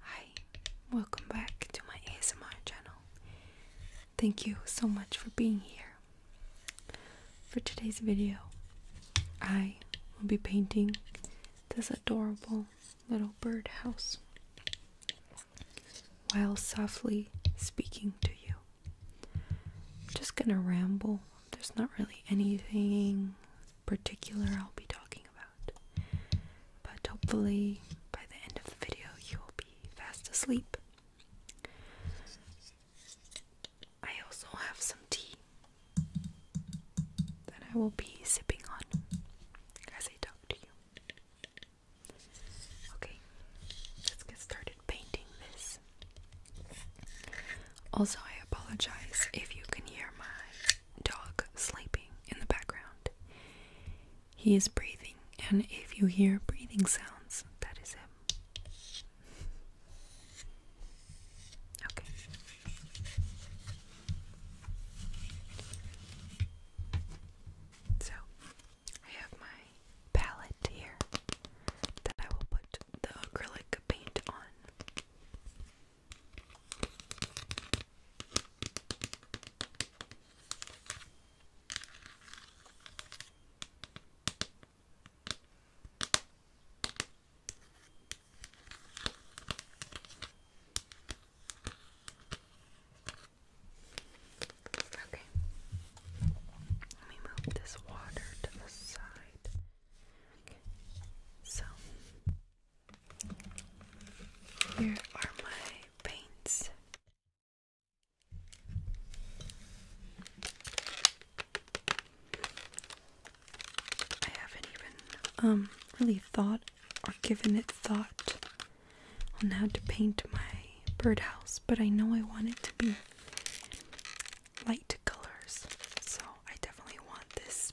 Hi, welcome back to my ASMR channel. Thank you so much for being here. For today's video, I will be painting this adorable little birdhouse while softly speaking to you. just gonna ramble. There's not really anything particular I'll be talking about. But hopefully, by the end of the video, you will be fast asleep. I also have some tea that I will be sipping on as I talk to you. Okay, let's get started painting this. Also, I apologize if you can hear my dog sleeping in the background. He is breathing, and if you hear breathing sounds, that is him. Okay. So, I have my palette here that I will put the acrylic paint on. Okay. Let me move this water to the side. So here are my paints. I haven't even um really thought or given it thought on how to paint my birdhouse, but I know I want it to be light colors. So I definitely want this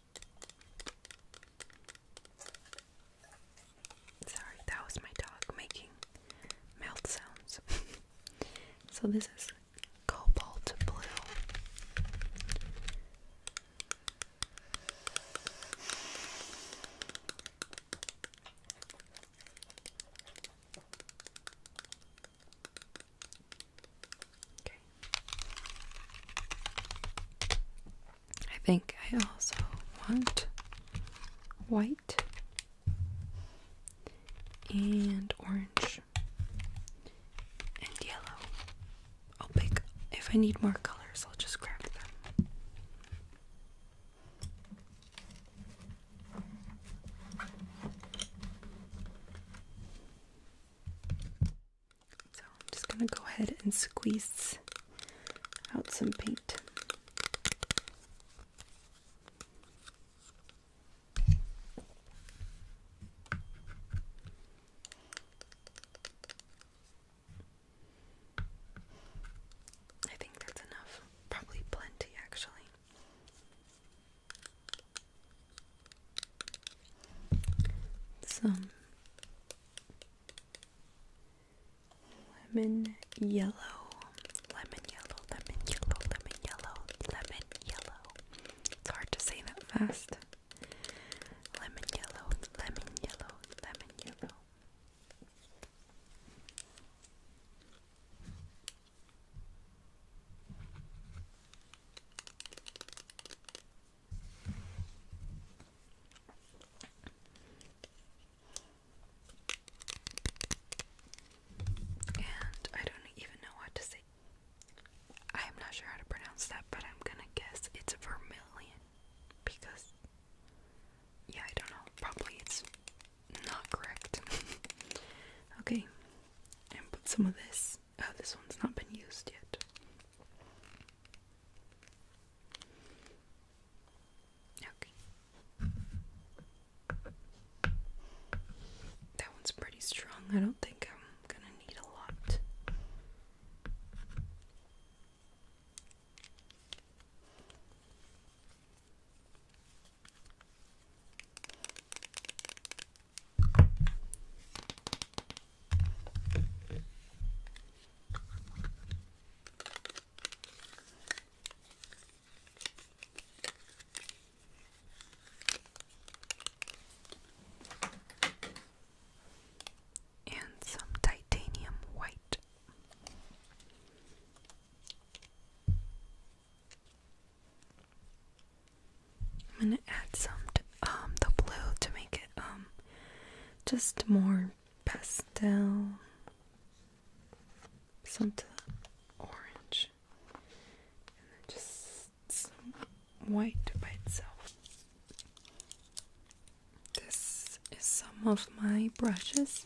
Sorry, that was my dog making mouth sounds. so this is cobalt blue. I think I also want white and orange and yellow. I'll pick if I need more colors, I'll just grab them. So I'm just going to go ahead and squeeze out some paint. I think that's enough. Probably plenty, actually some lemon yellow, lemon yellow, lemon yellow, lemon yellow, lemon yellow. It's hard to say that fast. Lemon yellow, lemon yellow, lemon yellow. And I don't even know what to say. I'm not sure how to pronounce that, but I'm gonna guess it's vermilion because, yeah, I don't know. Probably it's not correct. okay, and put some of this Oh, this one's not been used yet. Okay. That one's pretty strong. I don't think I'm gonna need a lot and some titanium white. I'm gonna add some to, um, the blue to make it um, just more pastel. Some to the orange. And then just some white by itself. This is some of my brushes.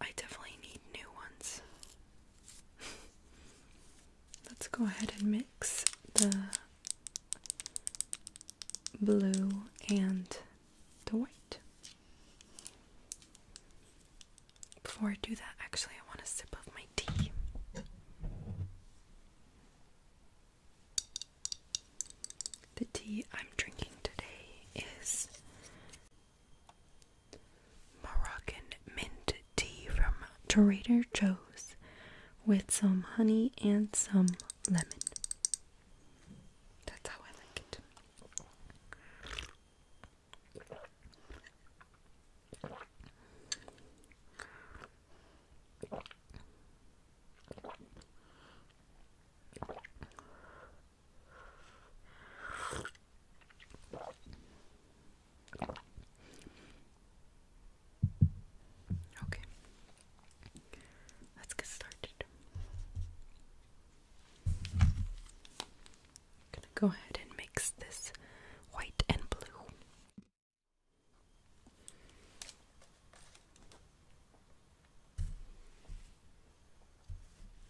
I definitely need new ones. Let's go ahead and mix the blue and the white. Before I do that, actually, I want a sip of my tea. The tea I'm drinking today is Moroccan mint tea from Trader Joe's with some honey and some lemon. That's how I like it. Okay, let's get started. I'm gonna go ahead and mix this white and blue.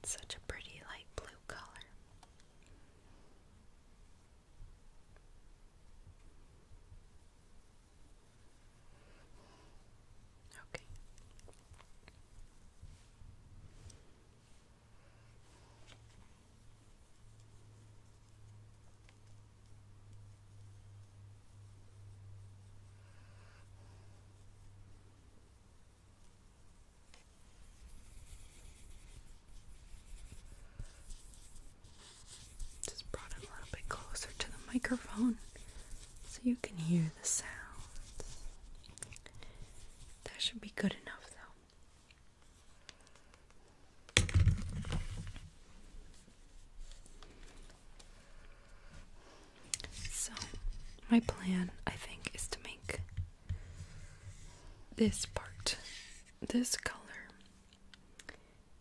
That's such a pretty light blue color. Okay. Just brought it a little bit closer to the microphone so you can hear the sounds. That should be good enough, though. So, my plan, I think, is to make this part, this color,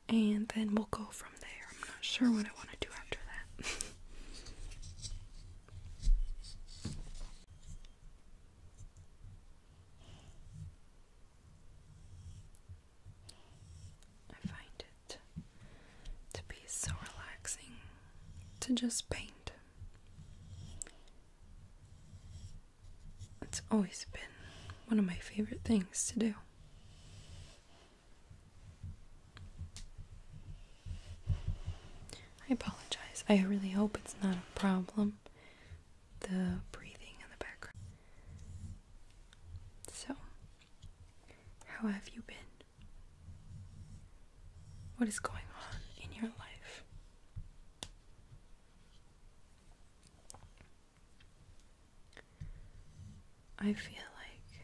and then we'll go from there. I'm not sure what I want to do after that. I find it to be so relaxing to just paint. It's always been one of my favorite things to do. I apologize. I really hope it's not a problem. The breathing in the background. So, how have you been? What is going on in your life? I feel like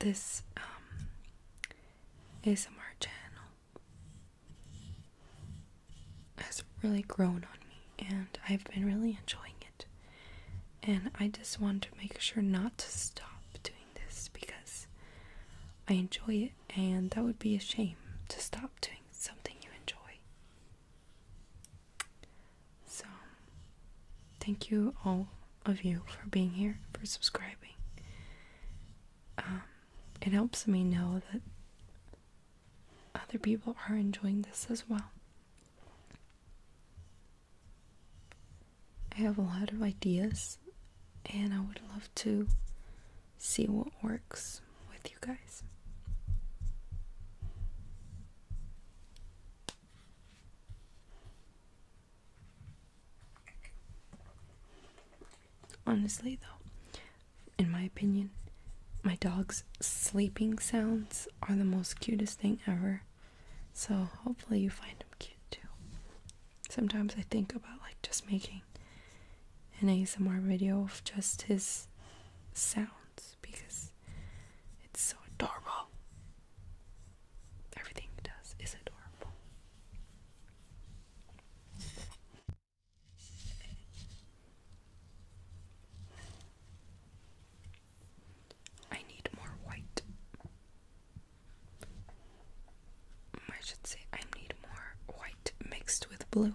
this um, ASMR channel has really grown on me, and I've been really enjoying it. And I just want to make sure not to stop doing this because I enjoy it and that would be a shame to stop doing something you enjoy. So, thank you all of you for being here, for subscribing. Um, it helps me know that other people are enjoying this as well. I have a lot of ideas, and I would love to see what works with you guys. Honestly, though, in my opinion, my dog's sleeping sounds are the most cutest thing ever. So hopefully you find them cute too sometimes I think about like just making an ASMR video of just his sounds because it's so adorable. Everything he does is adorable. I need more white. Mm, I should say I need more white mixed with blue.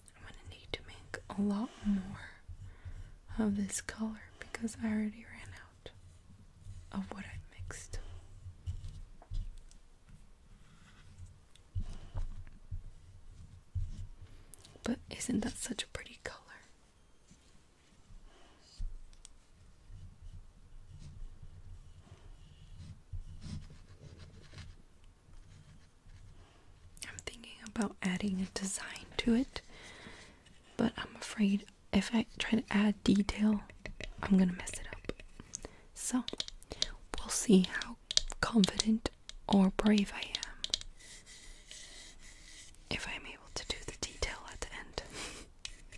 I'm gonna need to make a lot more of this color because I already ran out of what I mixed. But isn't that such a pretty color? I'm thinking about adding a design to it, but I'm afraid if I try to add detail, I'm gonna mess it up. So, we'll see how confident or brave I am if I'm able to do the detail at the end.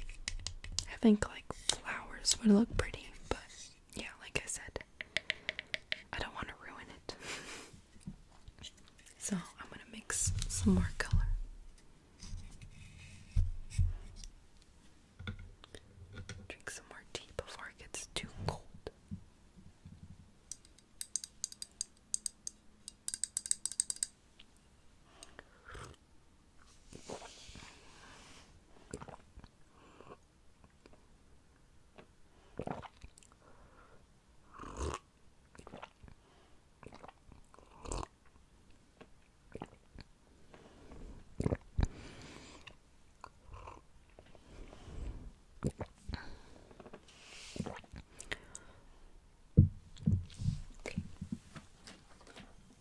I think like flowers would look pretty, but yeah, like I said, I don't want to ruin it. so I'm going to mix some more color. Drink some more tea before it gets too cold.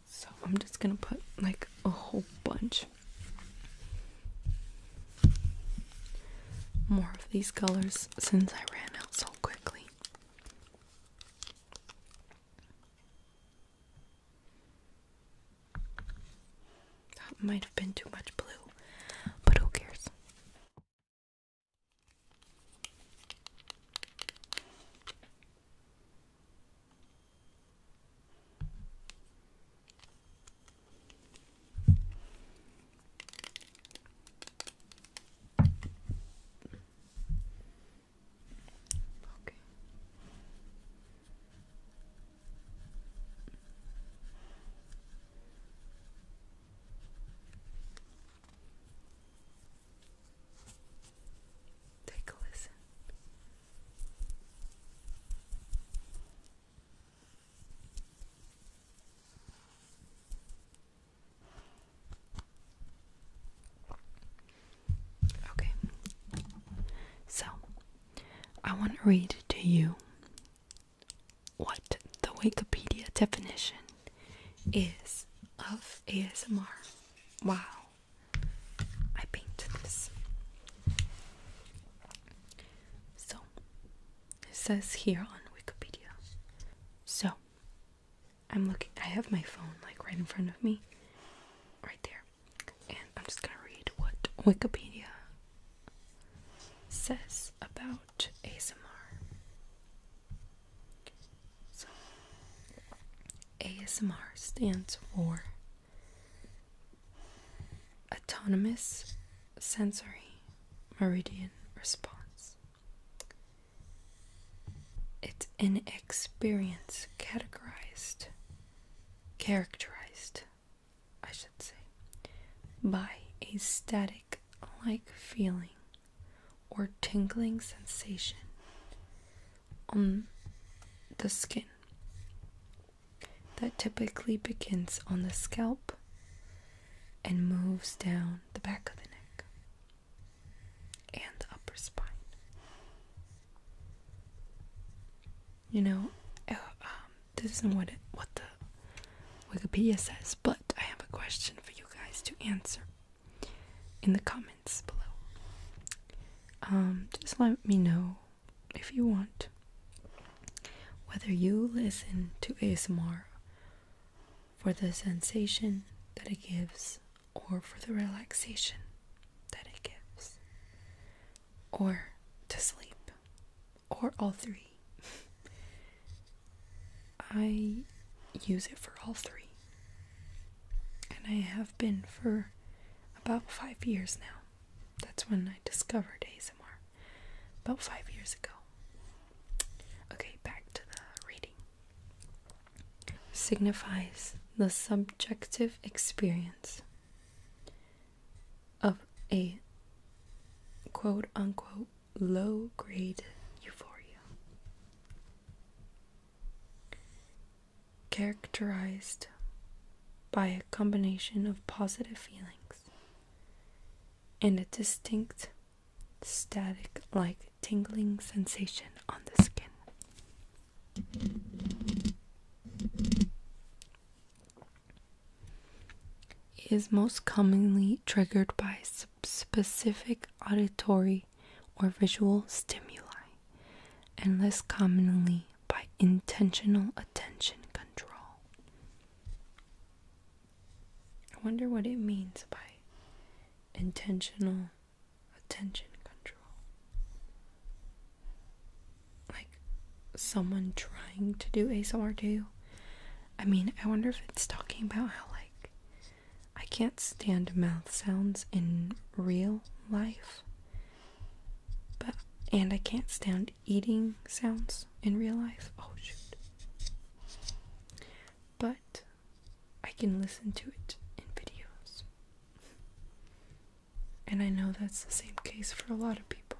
So I'm just gonna put like a whole bunch more of these colors since I ran out so quickly. That might have been too much blue, but who cares? Okay. Take a listen. Okay, so I want to read to you what the Wikipedia definition is of ASMR. Wow, I painted this. So, it says here on Wikipedia. So, I'm looking, I have my phone like right in front of me, right there, and I'm just gonna read what Wikipedia says about ASMR. So, ASMR stands for autonomous sensory meridian response. It's an experience categorized, characterized, I should say, by a static like feeling or tingling sensation on the skin that typically begins on the scalp and moves down the back of the neck and the upper spine. You know, uh, um, this isn't what what the Wikipedia says, but I have a question for you guys to answer in the comments below. Um, just let me know if you want. Whether you listen to ASMR for the sensation that it gives, or for the relaxation that it gives, or to sleep, or all three. I use it for all three, and I have been for about five years now. That's when I discovered ASMR about five years ago. Okay, back to the reading. Signifies the subjective experience of a quote unquote low grade euphoria. Characterized by a combination of positive feelings and a distinct static like tingling sensation on the skin. is most commonly triggered by specific auditory or visual stimuli and less commonly by intentional attention control. I wonder what it means by intentional attention control. Like someone trying to do ASR. to I mean, I wonder if it's talking about how, like, I can't stand mouth sounds in real life. But, and I can't stand eating sounds in real life. Oh shoot. But I can listen to it in videos. And I know that's the same case for a lot of people.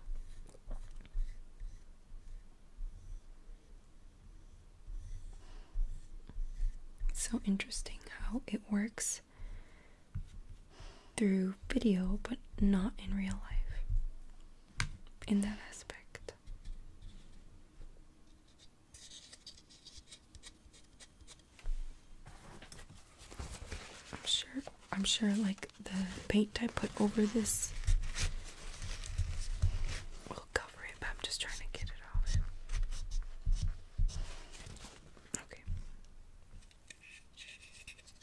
It's so interesting how it works through video, but not in real life in that aspect. I'm sure I'm sure like the paint I put over this will cover it, but I'm just trying to get it off. Okay.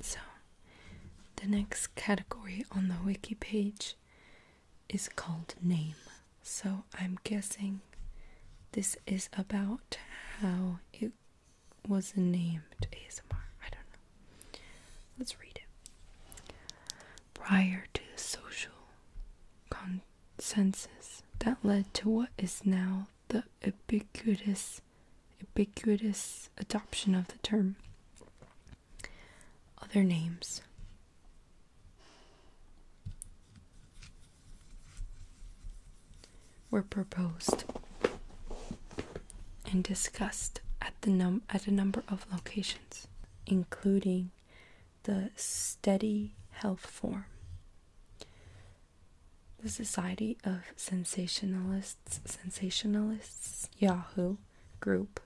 So, the next category on the wiki page is called name. So, I'm guessing this is about how it was named ASMR. I don't know. Let's read it. Prior to the social con census that led to what is now the ubiquitous ubiquitous adoption of the term. Other names. Were proposed and discussed at the num at a number of locations, including the Steady Health Forum, the Society of Sensationalists, Sensationalists, Yahoo group,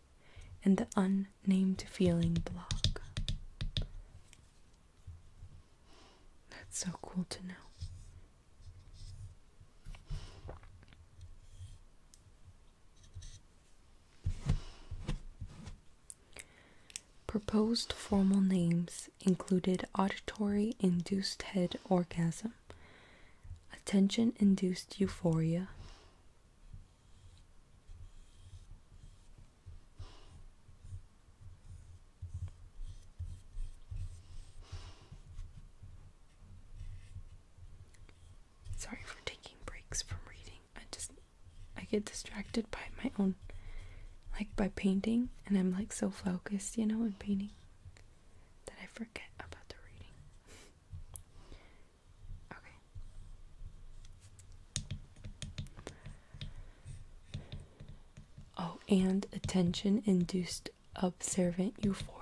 and the Unnamed Feeling blog. That's so cool to know. Proposed formal names included auditory induced head orgasm, attention induced euphoria, Sorry for taking breaks from reading. I just I get distracted by my own, like by painting, and I'm like so focused, you know, in painting that I forget about the reading. okay. Oh, and attention induced observant euphoria.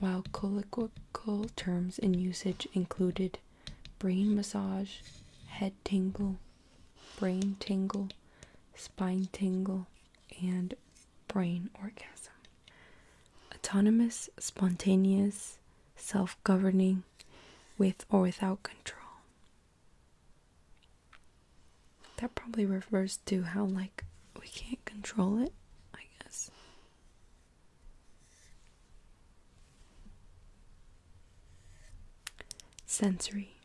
While colloquial terms in usage included brain massage, head tingle, brain tingle, spine tingle, and brain orgasm. Autonomous, spontaneous, self governing, with or without control. That probably refers to how, like, we can't control it, I guess. Sensory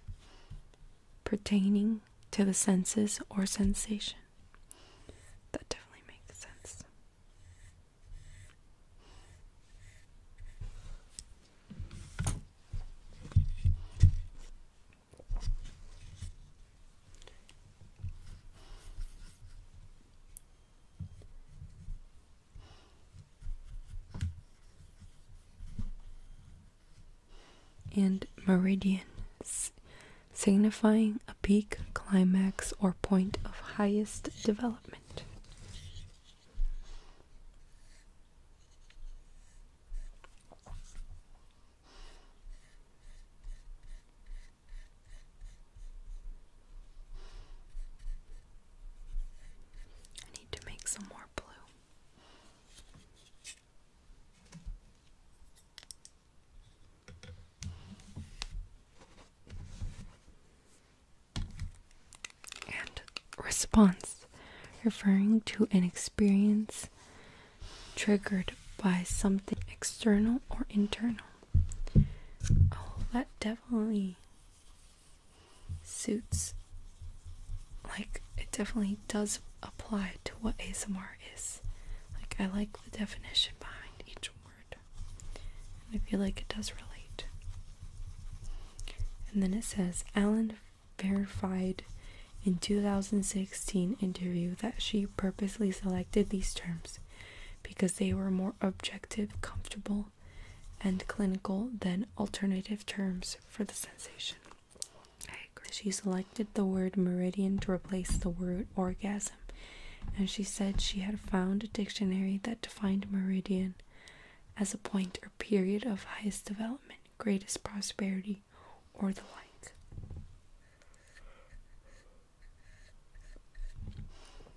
pertaining to the senses or sensation. That definitely makes sense and meridian, signifying a peak, climax, or point of highest development. I need to make some more blue. And response referring to an experience triggered by something external or internal. Oh, that definitely suits like it definitely does apply to what ASMR is. Like I like the definition behind each word. I feel like it does relate. And then it says Alan verified in 2016 interview that she purposely selected these terms because they were more objective, comfortable, and clinical, then alternative terms for the sensation. She selected the word meridian to replace the word orgasm, and she said she had found a dictionary that defined meridian as a point or period of highest development, greatest prosperity, or the like.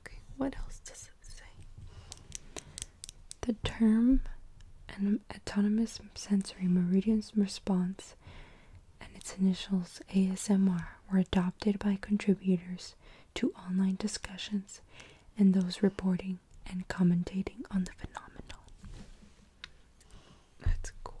Okay, what else does it say? The term an autonomous sensory meridian response and its initials ASMR were adopted by contributors to online discussions and those reporting and commentating on the phenomenon. That's cool.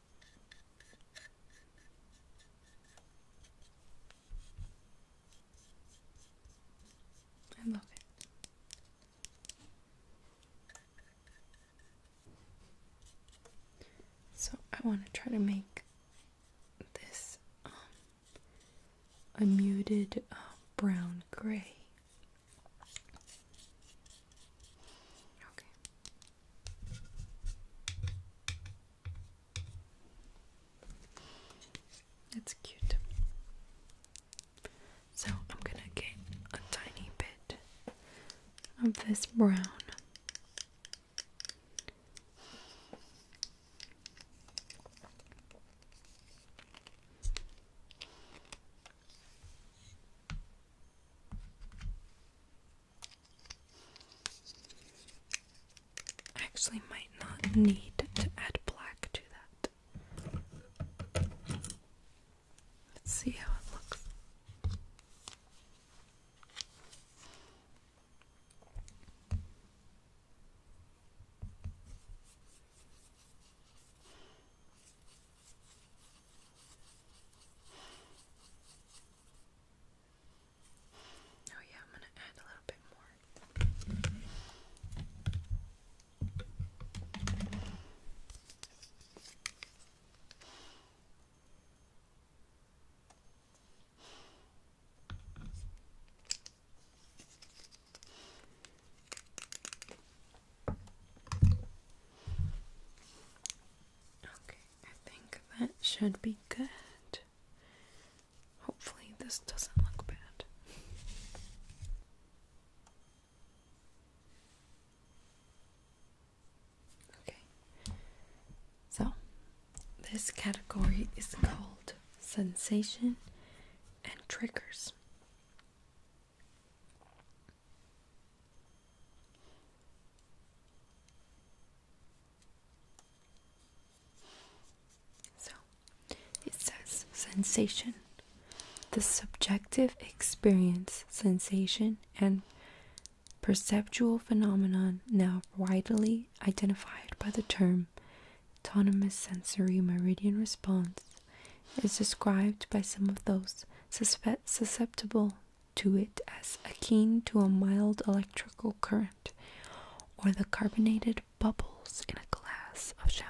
I love it. So I want to try to make this um, a muted uh, brown gray. Okay. That's cute. So I'm gonna get a tiny bit of this brown. I actually might not need to add black to that. Let's see how it looks. Oh, yeah, I'm going to add a little bit more. Okay. I think that should be good. Hopefully, this doesn't look bad. Okay, so this category is called sensation and triggers. So it says sensation, the subjective experience, sensation, and perceptual phenomenon now widely identified by the term autonomous sensory meridian response is described by some of those susceptible to it as akin to a mild electrical current or the carbonated bubbles in a glass of champagne.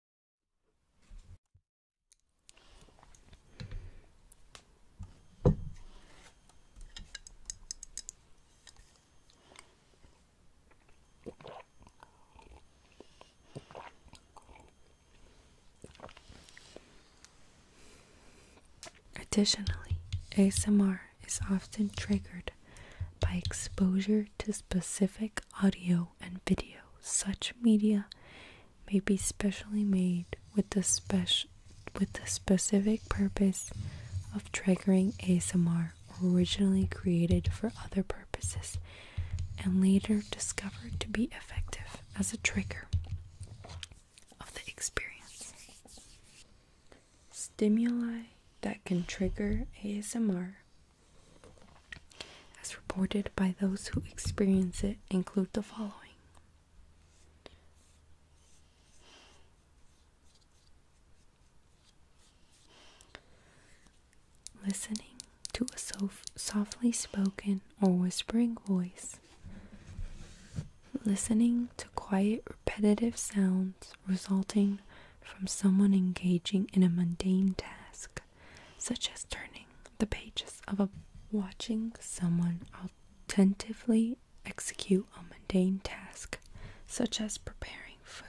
Additionally, ASMR is often triggered by exposure to specific audio and video. Such media may be specially made with the special with the specific purpose of triggering ASMR originally created for other purposes and later discovered to be effective as a trigger of the experience. Stimuli that can trigger ASMR as reported by those who experience it, include the following. Listening to a sof softly spoken or whispering voice. Listening to quiet, repetitive sounds resulting from someone engaging in a mundane task, such as turning the pages of a watching someone attentively execute a mundane task, such as preparing food.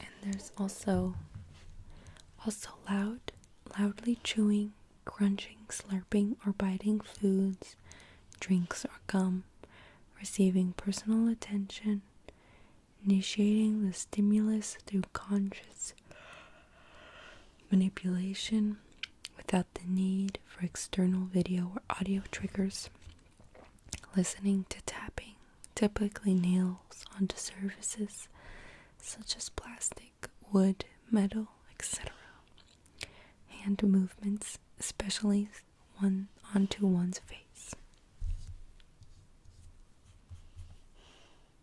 And there's also also loud, loudly chewing, crunching, slurping, or biting foods, drinks, or gum, receiving personal attention, initiating the stimulus through conscious manipulation without the need for external video or audio triggers. Listening to tapping typically nails onto surfaces such as plastic, wood, metal, etc. Hand movements, especially one onto one's face.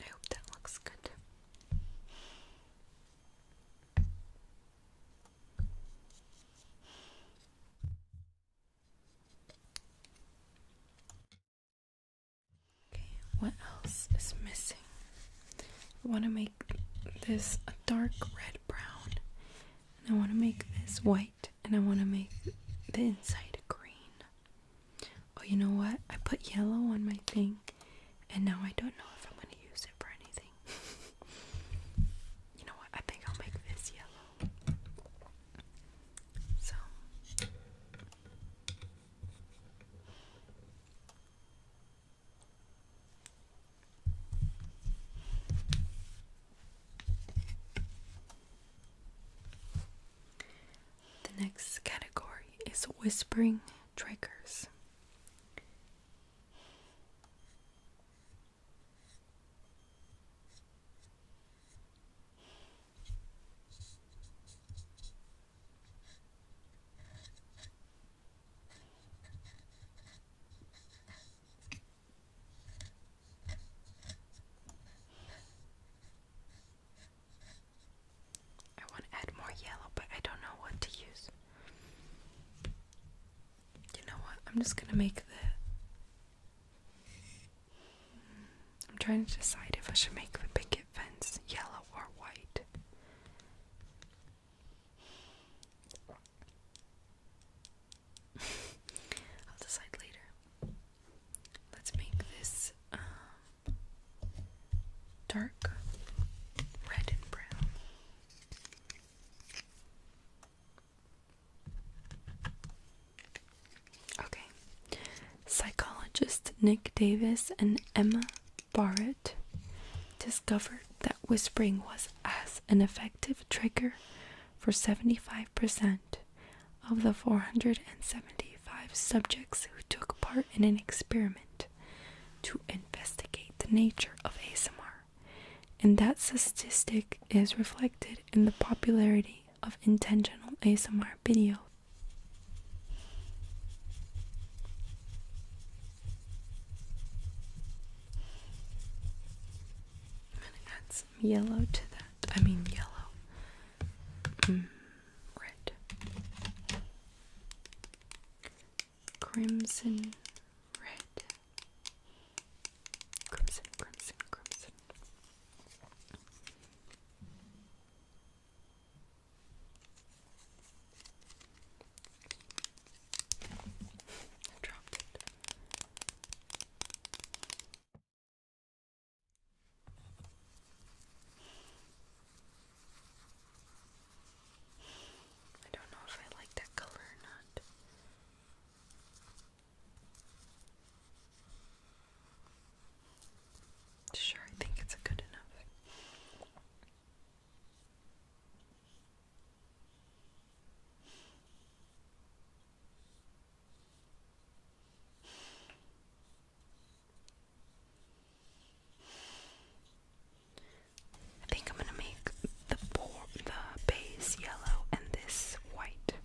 I hope that looks good. Okay, what else is missing? I want to make this a dark red brown, and I want to make this white, and I want to make the inside green. Oh, you know what? I put yellow on my thing, and now I don't know if I'm going to use it for anything. you know what? I think I'll make this yellow. So the next category is whispering triggers. I want to add more yellow, but I don't know what to use. You know what? I'm just gonna make the I'm trying to decide if I should make the picket fence yellow or white. I'll decide later. Let's make this um, dark red and brown. Okay. Psychologists Nick Davis and Emma Barrett discovered that whispering was as an effective trigger for 75% of the 475 subjects who took part in an experiment to investigate the nature of ASMR and that statistic is reflected in the popularity of intentional ASMR videos. I'm gonna add some yellow to that. I mean, yellow. Mm, red. Crimson red. Crimson, crimson, crimson. I it. I don't know if I like that color or not. Sure, I think it's good enough. I think I'm going to make the base yellow and this white.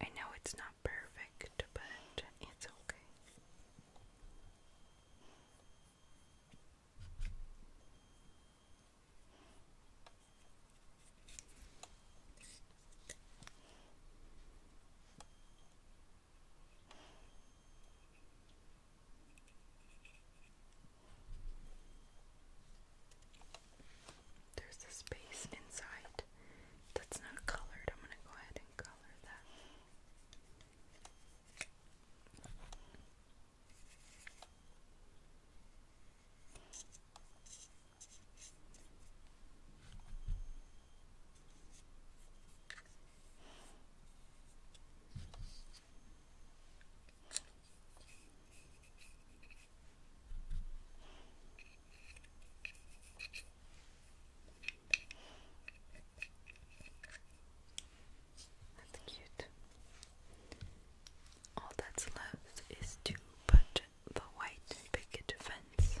I know it's not perfect, but it's okay. There's a space inside that's not colored. I'm going to go ahead and color that. That's cute. All that's left is to put the white picket fence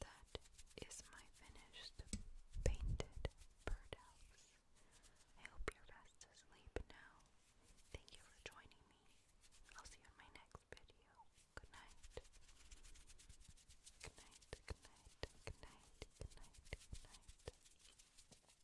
That is my finished painted birdhouse. I hope you're fast asleep now. Thank you for joining me. I'll see you in my next video. Good night. Good night, good night, good night, good night, good night.